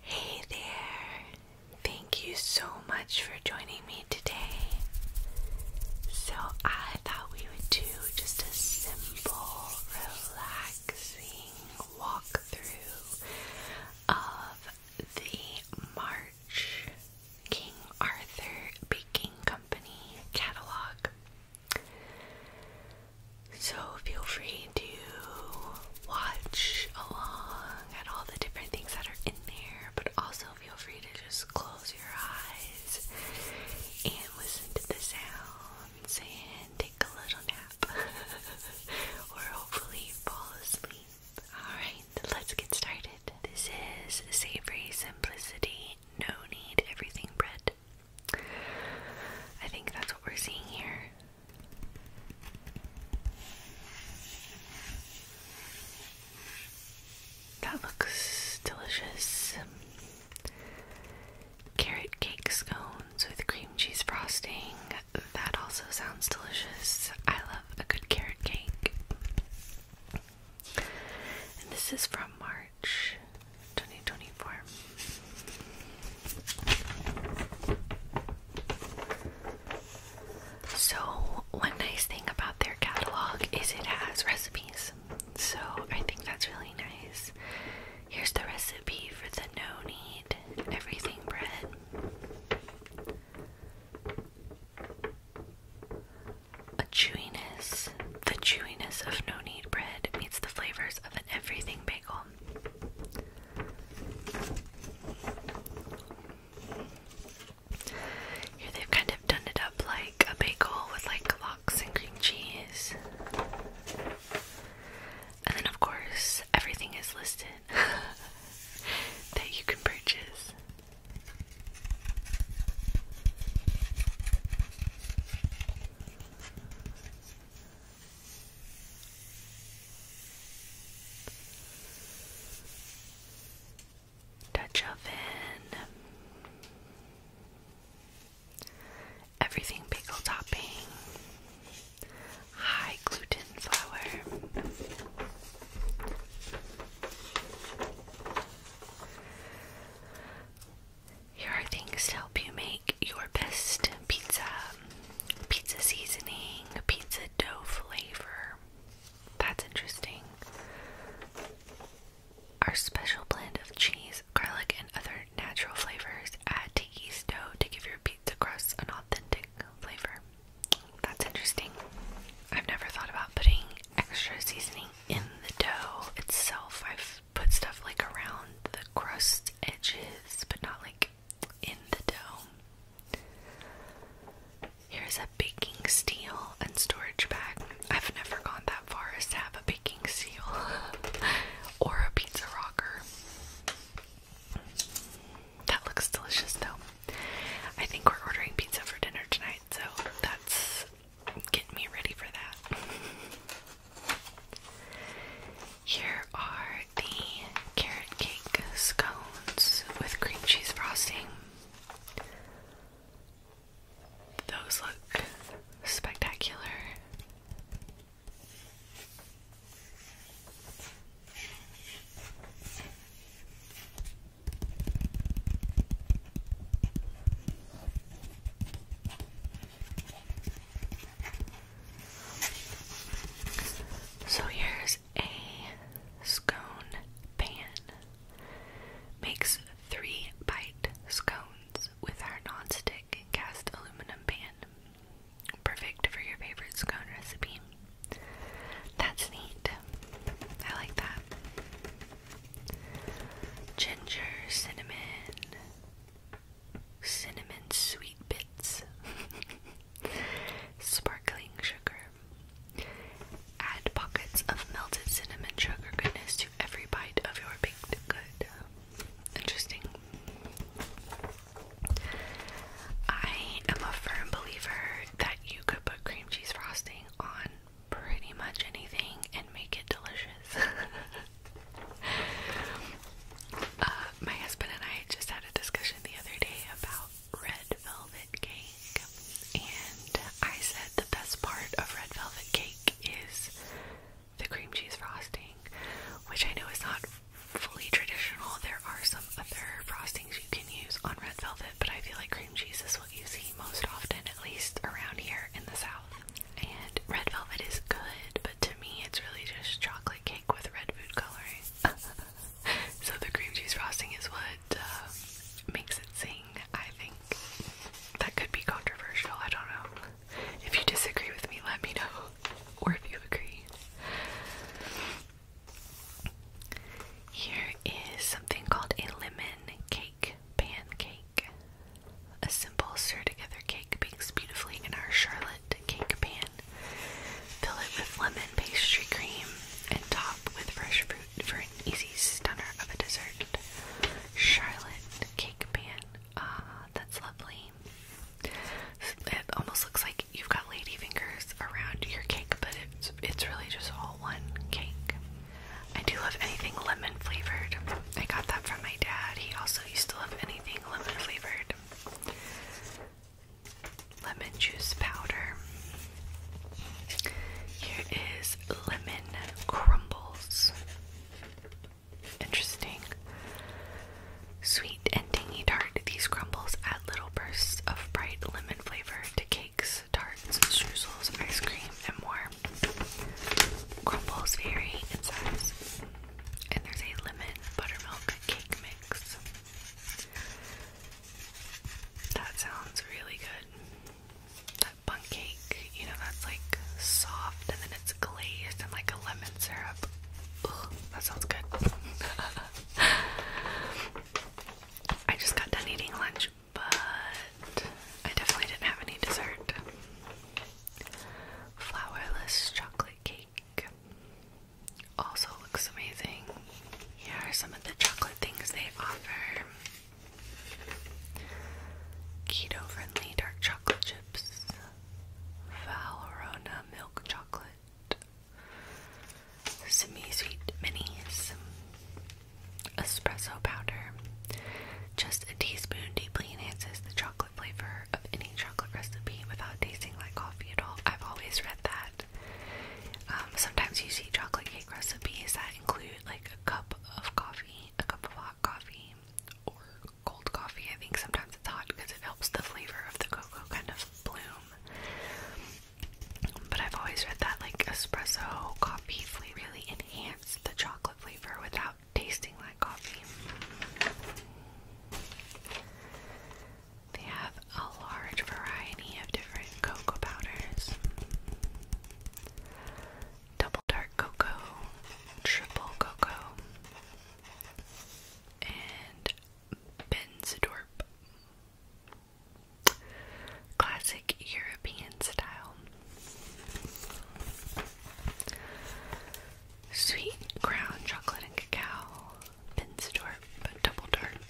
Hey there! Thank you so much for joining me today. So, I thought we would do just a simple, relaxing walkthrough of the March King Arthur Baking Company catalog. So, feel free to watch along at all the different things that are in there, but also feel free to just close your eyes and listen to the sounds and take a little nap or hopefully fall asleep. Alright, let's get started. This is Savory Simplicity No Need Everything Bread. I think that's what we're seeing here. That looks delicious. Carrot cake scones with cream cheese frosting. That also sounds delicious. I love a good carrot cake. And this is from March 2024. So, one nice thing about their catalog is it has recipes. So, I think that's really nice. Here's the recipe for the no need everything bread. A chewiness. The chewiness of no need bread meets the flavors of an everything bagel. Here they've kind of done it up like a bagel with like lox and cream cheese. And then, of course, everything is listed that you can purchase. Dutch oven, everything pickle topping, high gluten flour. Here are things to help you make your best pizza. Um, pizza seasoning, pizza dough flavor. That's interesting. Our special blend of cheese, garlic, and other natural flavors add to dough to give your pizza crust an authentic flavor. That's interesting. I've never thought about putting extra seasoning in the dough itself. I've put stuff like around the crust edges, but not like in the dome. Here's a baking steel and storage bag. I've never gone that far as to have a baking steel or a pizza rocker. That looks delicious though. I think we're ordering pizza for dinner tonight, so that's getting me ready for that. Here are the carrot cake scones with cream cheese frosting. Those look spectacular. So here's a scone pan. Makes three bite scones with our non-stick cast aluminum pan. Perfect for your favorite scone recipe. That's neat. I like that. Ginger, cinnamon, cinnamon sweet bits, sparkling sugar. Add pockets of melted cinnamon sugar goodness to every bite of your baked good. Interesting. I am a firm believer that you could put cream cheese frosting on pretty much anything and make it delicious. Uh, my husband and I just had a discussion the other day about red velvet cake, and I said the best part of red velvet cake is the cream cheese frosting, which I know is not fully traditional. There are some other frostings you can use on red velvet, but I feel like cream cheese is what you see most often, at least around here in the south. And red velvet is good, to me it's really just chocolate cake with red food coloring. so the cream cheese frosting is what um, makes it sing, I think. That could be controversial, I don't know. If you disagree with me, let me know. Or if you agree. Here is something called a lemon cake pancake. A simple stir together cake bakes beautifully in our Charlotte cake pan fill it with lemon pastry cream and top with fresh fruit for an easy stunner of a dessert. Charlotte cake pan. Ah, that's lovely. It almost looks like you've got lady fingers around your cake, but it's it's really just all one cake. I do love anything lemon flavored. I got that from my dad. He also used to love anything lemon flavored lemon juice powder. Here is lemon crumbles. Interesting. Sweet and tangy tart. These crumbles add little bursts of bright lemon flavor to cakes, tarts, streusels, ice cream, and more. Crumbles vary in size and there's a lemon buttermilk cake mix. That sounds really good. That bun cake, you know, that's like soft and then it's glazed and like a lemon syrup. that sounds good. I just got done eating lunch, but I definitely didn't have any dessert. Flourless chocolate cake also looks amazing. Here are some of the chocolate things they offer keto friendly dark chocolate chips, Valrhona milk chocolate, semi sweet minis, espresso powder. Just a teaspoon deeply enhances the chocolate chocolate flavor of any chocolate recipe without tasting like coffee at all. I've always read that. Um, sometimes you see chocolate cake recipes that include like a cup of coffee, a cup of hot coffee, or cold coffee. I think sometimes it's hot because it helps the flavor of the cocoa kind of bloom. But I've always read that like espresso coffee flavor really enhances the chocolate flavor without tasting like coffee. They have a large variety of different cocoa powders double dark cocoa, triple cocoa, and Benzidorp. Classic European style. Sweet Crown Chocolate and Cacao, Pinsdorp Double Dark,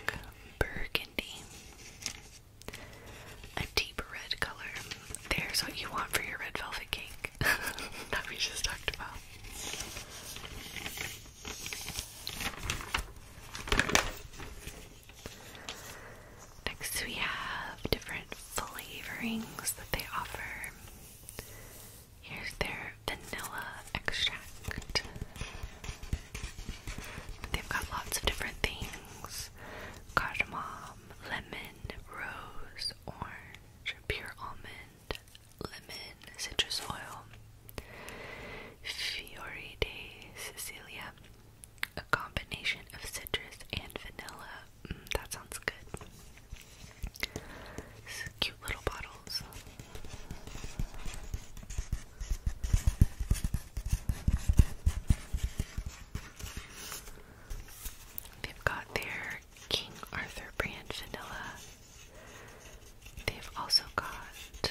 Burgundy. A deep red color. There's what you want for your red velvet cake that we just talked about. Next, we have different flavorings that they offer. Here's their vanilla extract. They've got lots of different things cardamom, lemon, rose, orange, pure almond, lemon, citrus oil, Fiori de Cecilia, a combination of citrus and vanilla, that sounds good. Cute little bottles. They've got their King Arthur brand vanilla. They've also got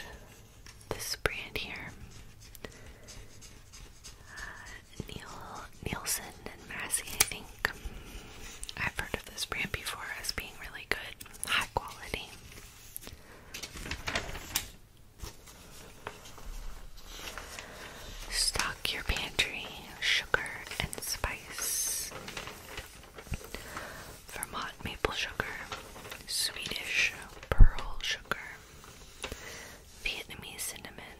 this brand here. Uh, Neil Nielsen and Massey, I think. I've heard of this brand before as being really good, high quality. Stock your pantry, sugar and spice. Vermont maple sugar, Swedish pearl sugar, Vietnamese cinnamon,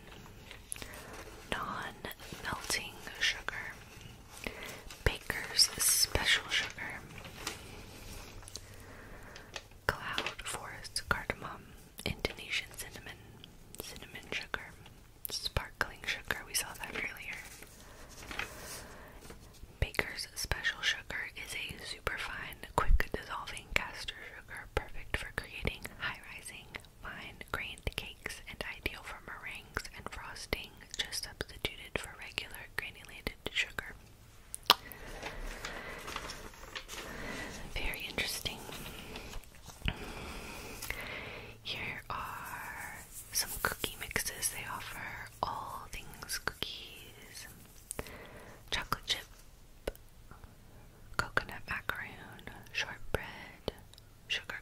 non melting sugar, Baker's Special Sugar, Cloud Forest Cardamom, Indonesian Cinnamon, Cinnamon Sugar, Sparkling Sugar, we saw that earlier. Baker's Special Sugar is a superfine, quick dissolving caster sugar perfect for creating high rising, Fine grained cakes and ideal for meringues and frosting, just substituted for regular granulated sugar. Very interesting. Here are some cookie mixes they offer all things cookies, chocolate chip, coconut macaroon, shortbread, sugar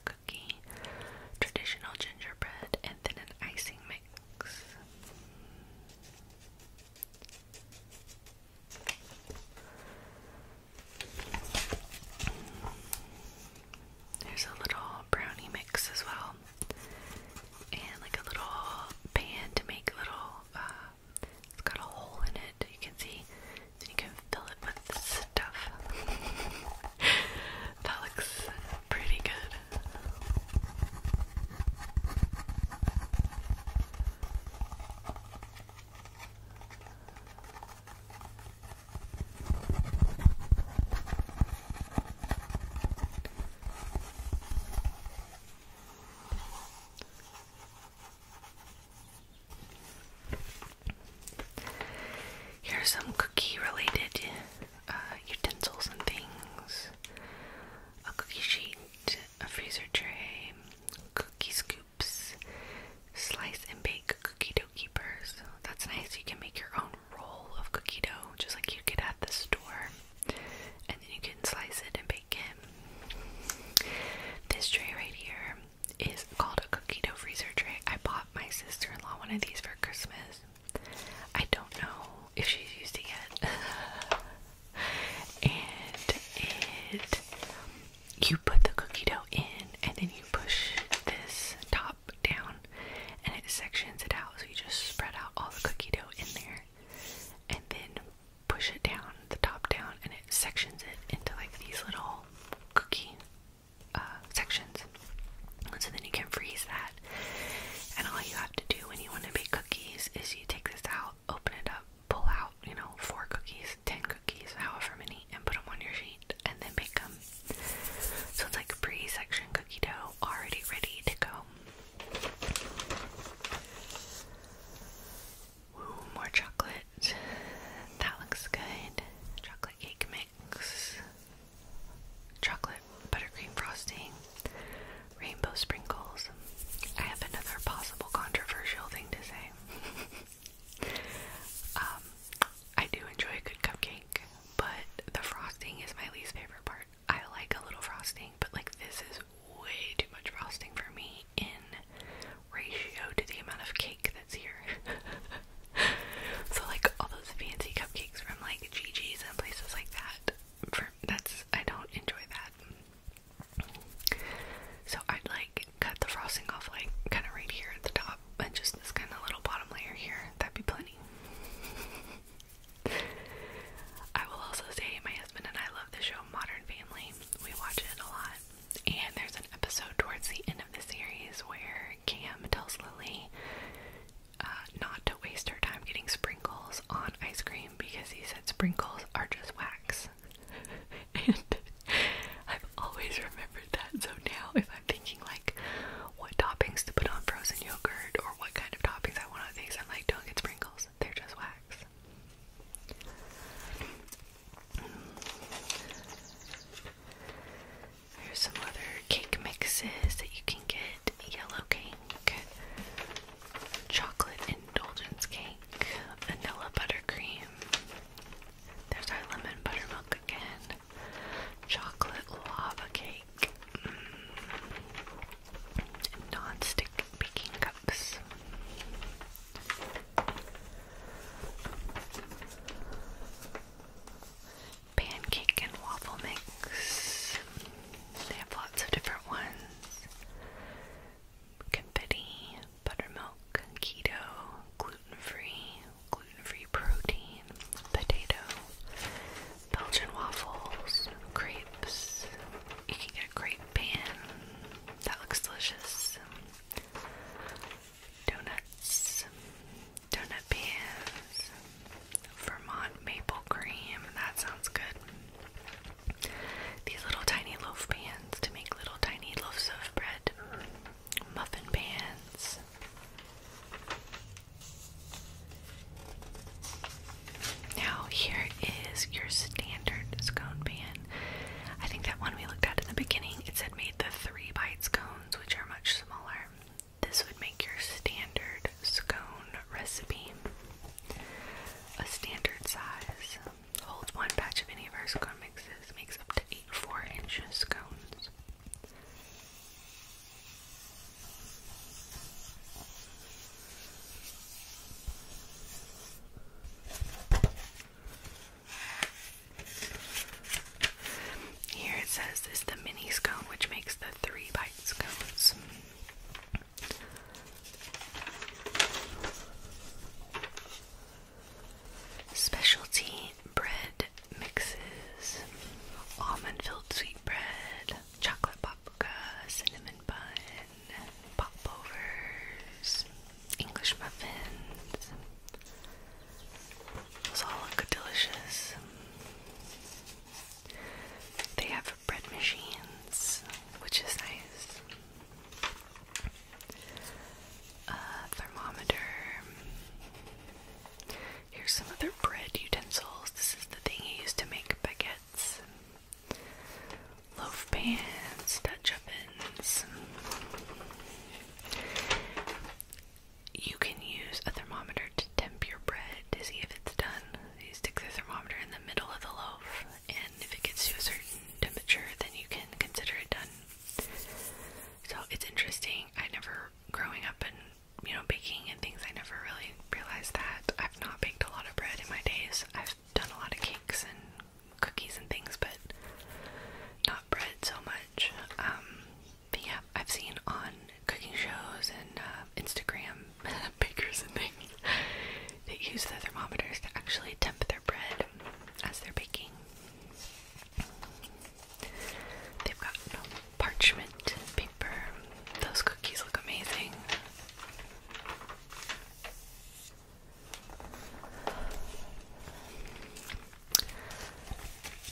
traditional gingerbread, and then an icing mix. There's a little brownie mix as well, and like a little pan to make little. Uh, it's got a hole in it. You can see then you can fill it with stuff. that looks pretty good. Here are some cookie related uh, utensils and things a cookie sheet, a freezer tray, cookie scoops, slice and bake cookie dough keepers. That's nice, you can make your own roll of cookie dough just like you get at the store, and then you can slice it and bake it. This tray right here is called a cookie dough freezer tray. I bought my sister-in-law one of these for Christmas. I don't know if she's used it yet. and you put the cookie dough in, and then you push this top down, and it sections it out. So you just spread out all the cookie dough in there, and then push it down, the top down, and it sections it into like these little cookie uh, sections. So then you can freeze that. And all you have to do when you want to bake cookies is you take this out, open it up, pull out, you know, four cookies, ten cookies, however many, and put them on your sheet and then bake them. So it's like pre section cookie dough already ready to go. Ooh, more chocolate. that looks good. Chocolate cake mix, chocolate buttercream frosting, rainbow sprinkles. I have another possible controversial thing to say. Um, I do enjoy a good cupcake, but the frosting is my least favorite part. I like a little frosting, but like this is way too much frosting for me in ratio to the amount of cake that's here. so like all those fancy cupcakes from like GGs and places like that. For, that's I don't enjoy that. So I'd like cut the frosting off like kind of right here at the top and just this kind of little bottom layer here. That'd be plenty. I will also say my husband and I love the show Modern Family. We watch it a lot. And there's an episode towards the end of the series where Cam tells Lily uh, not to waste her time getting sprinkles on ice cream because he said sprinkles are just wax. and I've always remembered that. So now, if I'm thinking like what toppings to put on frozen yogurt or what kind of toppings I want on things, I'm like, don't get sprinkles, they're just wax. There's some other cake mixes that you can get yellow cake, chocolate indulgence cake, vanilla buttercream. There's our lemon buttermilk again, chocolate lava cake, mm. non stick baking cups. Pancake and waffle mix. They have lots of different ones. Confetti, buttermilk, keto, gluten free, gluten free protein, potato, Belgian waffles, crepes. You can get a crepe pan. That looks delicious donuts, donut pans, Vermont maple cream. That sounds good. These little tiny loaf pans to make little tiny loaves of bread, muffin pans. Now, here is your standard scone pan. I think that one we looked at in the beginning, it said made the three bites cones, which are much smaller. This would make your standard scone recipe a standard size. Holds one batch of any of our scone mixes, makes up to eight four inch scones. Here it says this is the mini scone, which makes the three bite scones. Specialty bread mixes, almond filled sweet bread, chocolate poppa, cinnamon bun, popovers, English muffins. Those all look delicious. They have bread machines, which is nice. Uh, thermometer. Here's some other bread utensils. This is the thing he used to make baguettes. Loaf pans, Dutch ovens. You can use a thermometer to temp your bread to see if it's done. You stick the thermometer in the middle of the loaf, and if it gets to a certain temperature, then you can consider it done. So it's interesting. I never, growing up and you know, baking and things, I never really realized that. I've not baked a lot of bread in my days. I've done a lot of cakes and cookies and things, but not bread so much. Um, yeah, I've seen on cooking shows and uh, Instagram bakers and things that use the thermometers to actually temp their bread as they're baking. They've got parchment paper. Those cookies look amazing.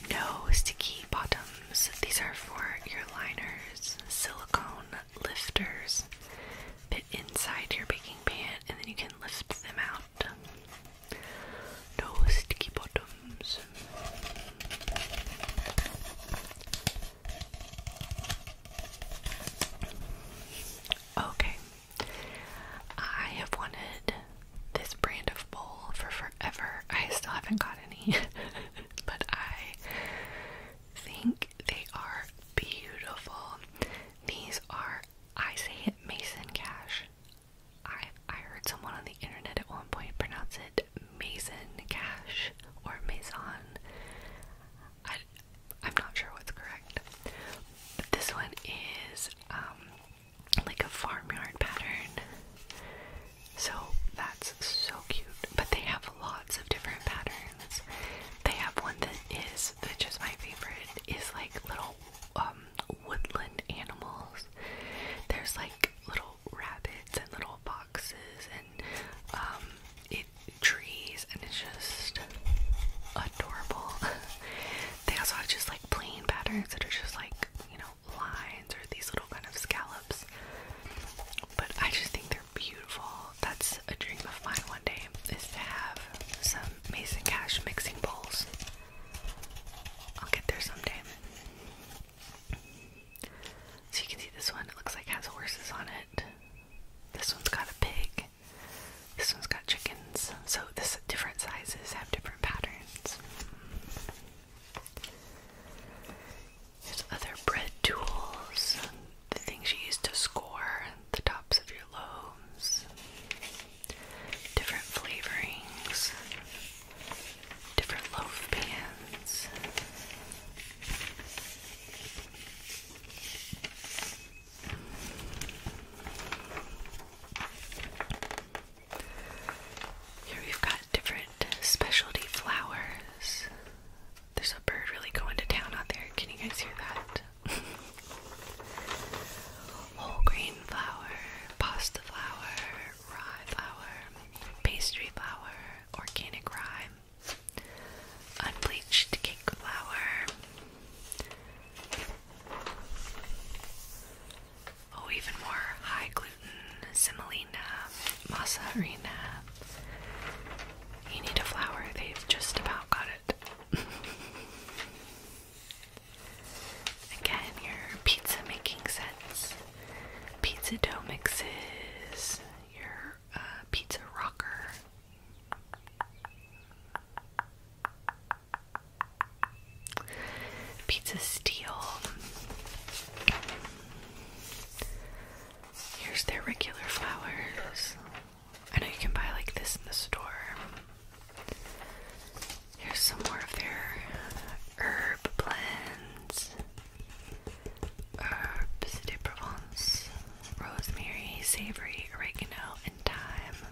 No sticky bottoms. These are for your liners, silicone lifters. Fit inside your baking pan and then you can lift them out. No sticky bottoms. Okay, I have wanted this brand of bowl for forever. I still haven't got any, but I think they are beautiful. These are, I say it, Mason Cash. I I heard someone on the internet at one point pronounce it Mason Cash or Maison. I, I'm not sure what's correct. But this one is um, like a farmyard pattern. So that's so cute. But they have lots of different patterns. They have one that is, which is my favorite, is like little um, woodland animals. There's like little rabbits and little foxes and um, it trees, and it's just adorable. They also have just like plain patterns that are just like, you know, lines or these little kind of scallops. But I just think they're beautiful. That's a dream of mine one day is to have some Mason Cash mixing bowls. I'll get there someday. So you can see this one, it looks like has horses on it. This one's got a pig. This one's got chickens, so the different sizes have different patterns. There's other bread tools, the things you use to score the tops of your loaves, different flavorings, different loaf pans. Here we've got different specialty flowers. There's a bird really going to town out there. Can you guys hear that? Whole grain flour, pasta flour, rye flour, pastry flour, organic rye, unbleached cake flour, Oh, even more high gluten, semolina, mozzarella. You need a flour, they've just about got it. Again, your pizza making sets, pizza dough mixes, your uh, pizza rocker. Pizza Steel. Here's their regular flowers. I know you can buy like this in the store. Here's some more of their herb blends. Herbs de Provence, rosemary, savory, oregano, and thyme.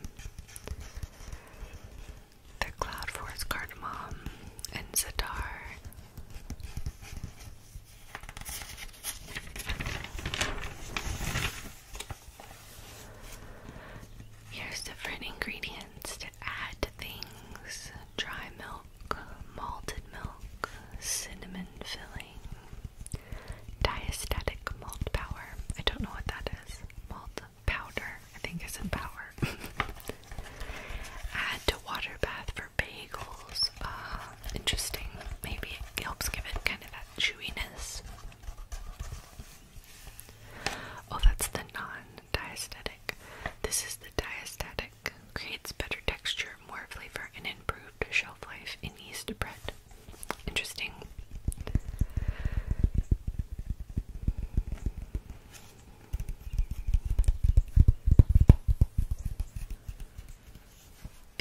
The Cloud Forest Cardamom and Zadar. Here's different ingredients to add to things dry milk, malted milk, cinnamon filling, Diastatic malt powder. I don't know what that is. Malt powder, I think it's in power. Add to water bath for bagels. Uh, interesting. Maybe it helps give it kind of that chewiness. Oh, that's the non-diastatic. This is the diastatic. Creates better texture, more flavor, and improved shelf life in yeast bread. Interesting.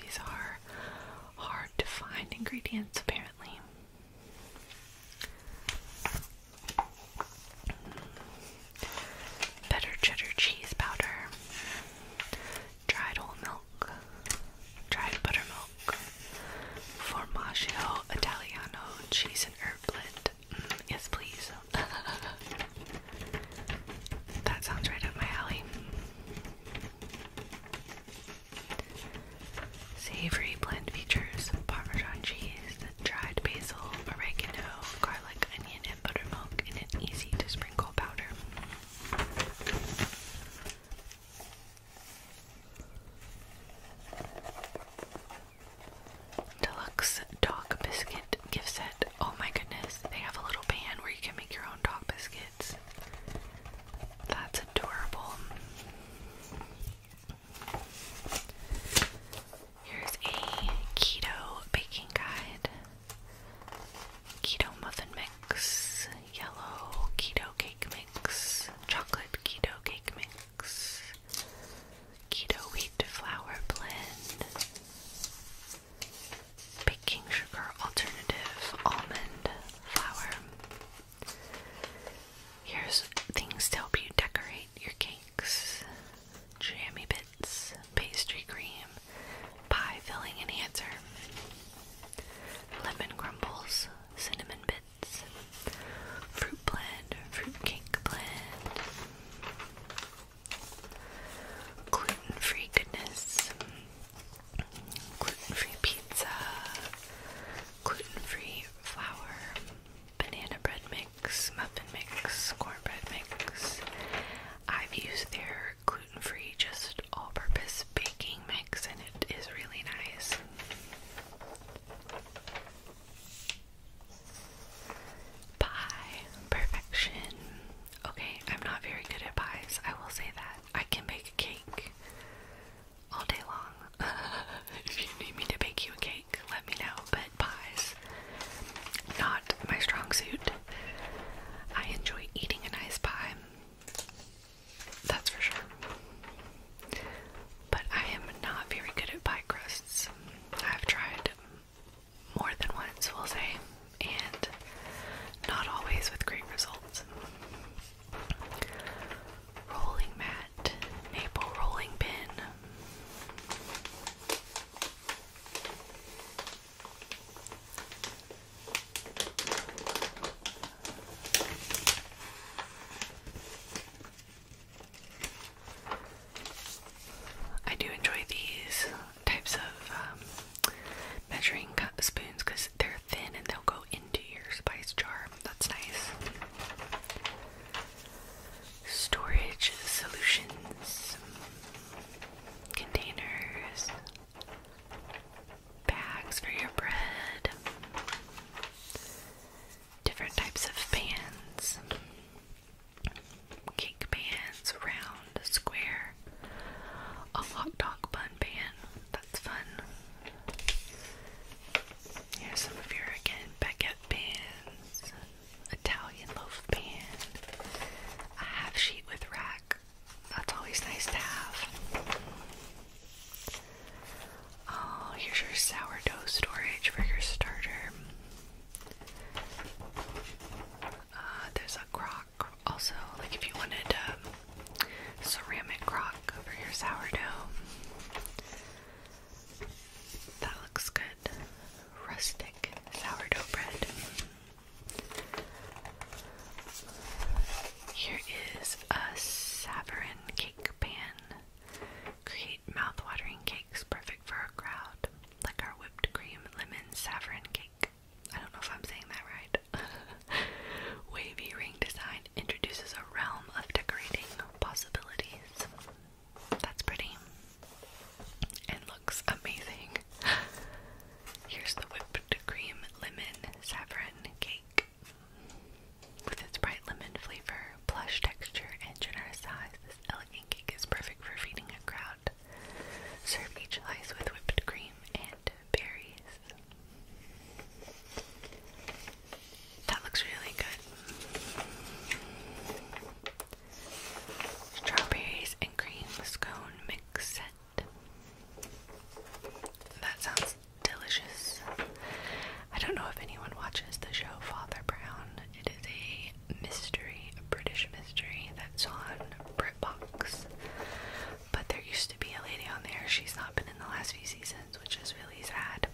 These are hard to find ingredients, apparently. Better cheddar cheese powder, dried whole dried buttermilk, formaggio Italiano, cheese and herb blend. Mm, yes, please. that sounds right up my alley. Savory blend features Parmesan cheese, dried basil, oregano, garlic, onion, and buttermilk in an easy to sprinkle powder. Deluxe dog biscuit gift set. Oh my goodness, they have a little pan where you can make your own dog biscuits. That's adorable. Here's a keto baking guide. Keto muffin mix yellow keto cake mix, chocolate keto cake mix, keto wheat flour blend, baking sugar alternative almond flour. Here's things to help you decorate your cakes jammy bits, pastry cream, pie filling enhancer, lemon crumbles, cinnamon bits, fruit blend, fruit cake blend, gluten free goodness, gluten free pizza, gluten free flour, banana bread mix, muffin mix, cornbread mix. I've used their gluten gluten free, just all purpose baking mix, and it is really nice. Pie perfection. Okay, I'm not very good at pies, I will say that. I can bake a cake all day long. if you need me to bake you a cake, let me know. But pies, not my strong suit. I enjoy eating a nice pie. That's for sure. But I am not very good at pie crusts. I've tried more than once, we'll say, and not always with great results. Rolling mat, maple rolling pin. I do enjoy these types of um, measuring cup spoons because they're thin and they'll go into your spice jar. That's nice. Storage solutions, containers, bags for your bread, different types of pans, cake pans, round, square, a hot dog bun pan. That's fun. Here's some of your again baguette pans, Italian loaf pan, a half sheet with rack, that's always nice to have. Oh, here's your sourdough storage for your starter. Uh, there's a crock also, like if you wanted a um, ceramic crock for your sourdough. That looks good. Rustic sourdough bread. Here is a saffron cake pan. Create mouthwatering cakes perfect for a crowd, like our whipped cream lemon saffron cake. I don't know if I'm saying that right. Wavy ring design introduces a realm of decorating possibilities. That's pretty and looks amazing. Here's the whipped cream lemon saffron cake. With its bright lemon flavor, plush texture, and generous size, this elegant cake is perfect for feeding a crowd. Serve each slice with whipped cream and berries. That looks really good. Strawberries and cream scone mix set. That sounds delicious. I don't know if anyone watches the show Father Brown. It is a mystery, a British mystery that's on BritBox. But there used to be a lady on there. She's not been in the last few seasons, which is really sad.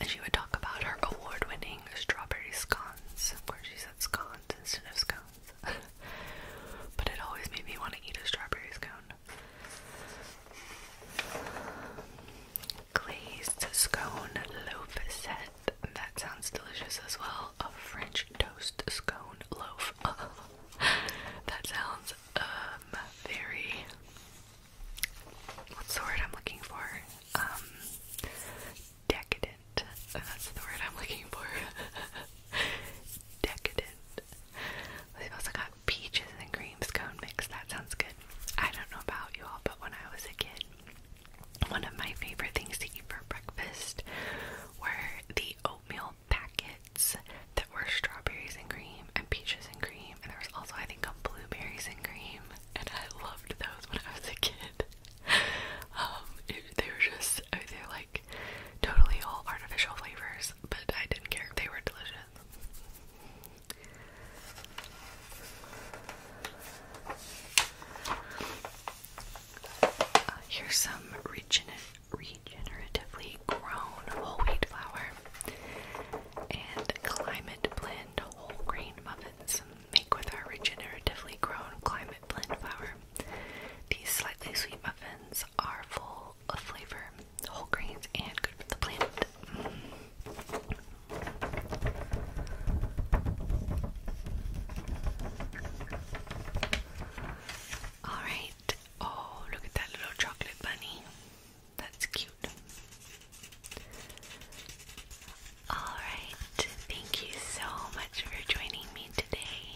And she would talk about her award winning strawberry scones. Of course, she said scones instead of scones. but it always made me want to eat a strawberry scone. Glazed scone loaf set. That sounds delicious as well. A French toast scone loaf. that sounds um very what's the word I'm looking for? Um decadent. That's the word I'm looking for. Decadent. They've also got peaches and cream creamscone mix. That sounds good. I don't know about you all, but when I was a kid, one of my favorite things to eat for breakfast were the oatmeal packets that were strawberries and cream and peaches and cream. And there was also, I think, a blueberries and cream. And I loved those when I was a kid. Um, they were just, they're totally all artificial flavors, but I didn't care. They were delicious. Uh, here's some regener regeneratively grown whole wheat flour and climate blend whole grain muffins make with our regeneratively grown climate blend flour. These slightly sweet muffins are full full flavor, whole grains, and good for the planet. Alright, oh, look at that little chocolate bunny. That's cute. Alright, thank you so much for joining me today.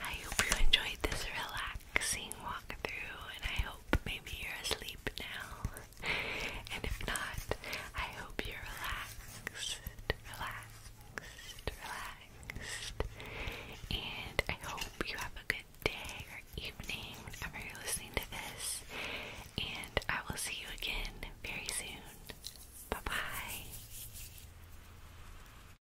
I hope you enjoyed this relaxing relaxing walk through, and I hope maybe you're asleep now. And if not, I hope you're relaxed, relaxed, relaxed. And I hope you have a good day or evening whenever you're listening to this. And I will see you again very soon. Bye bye.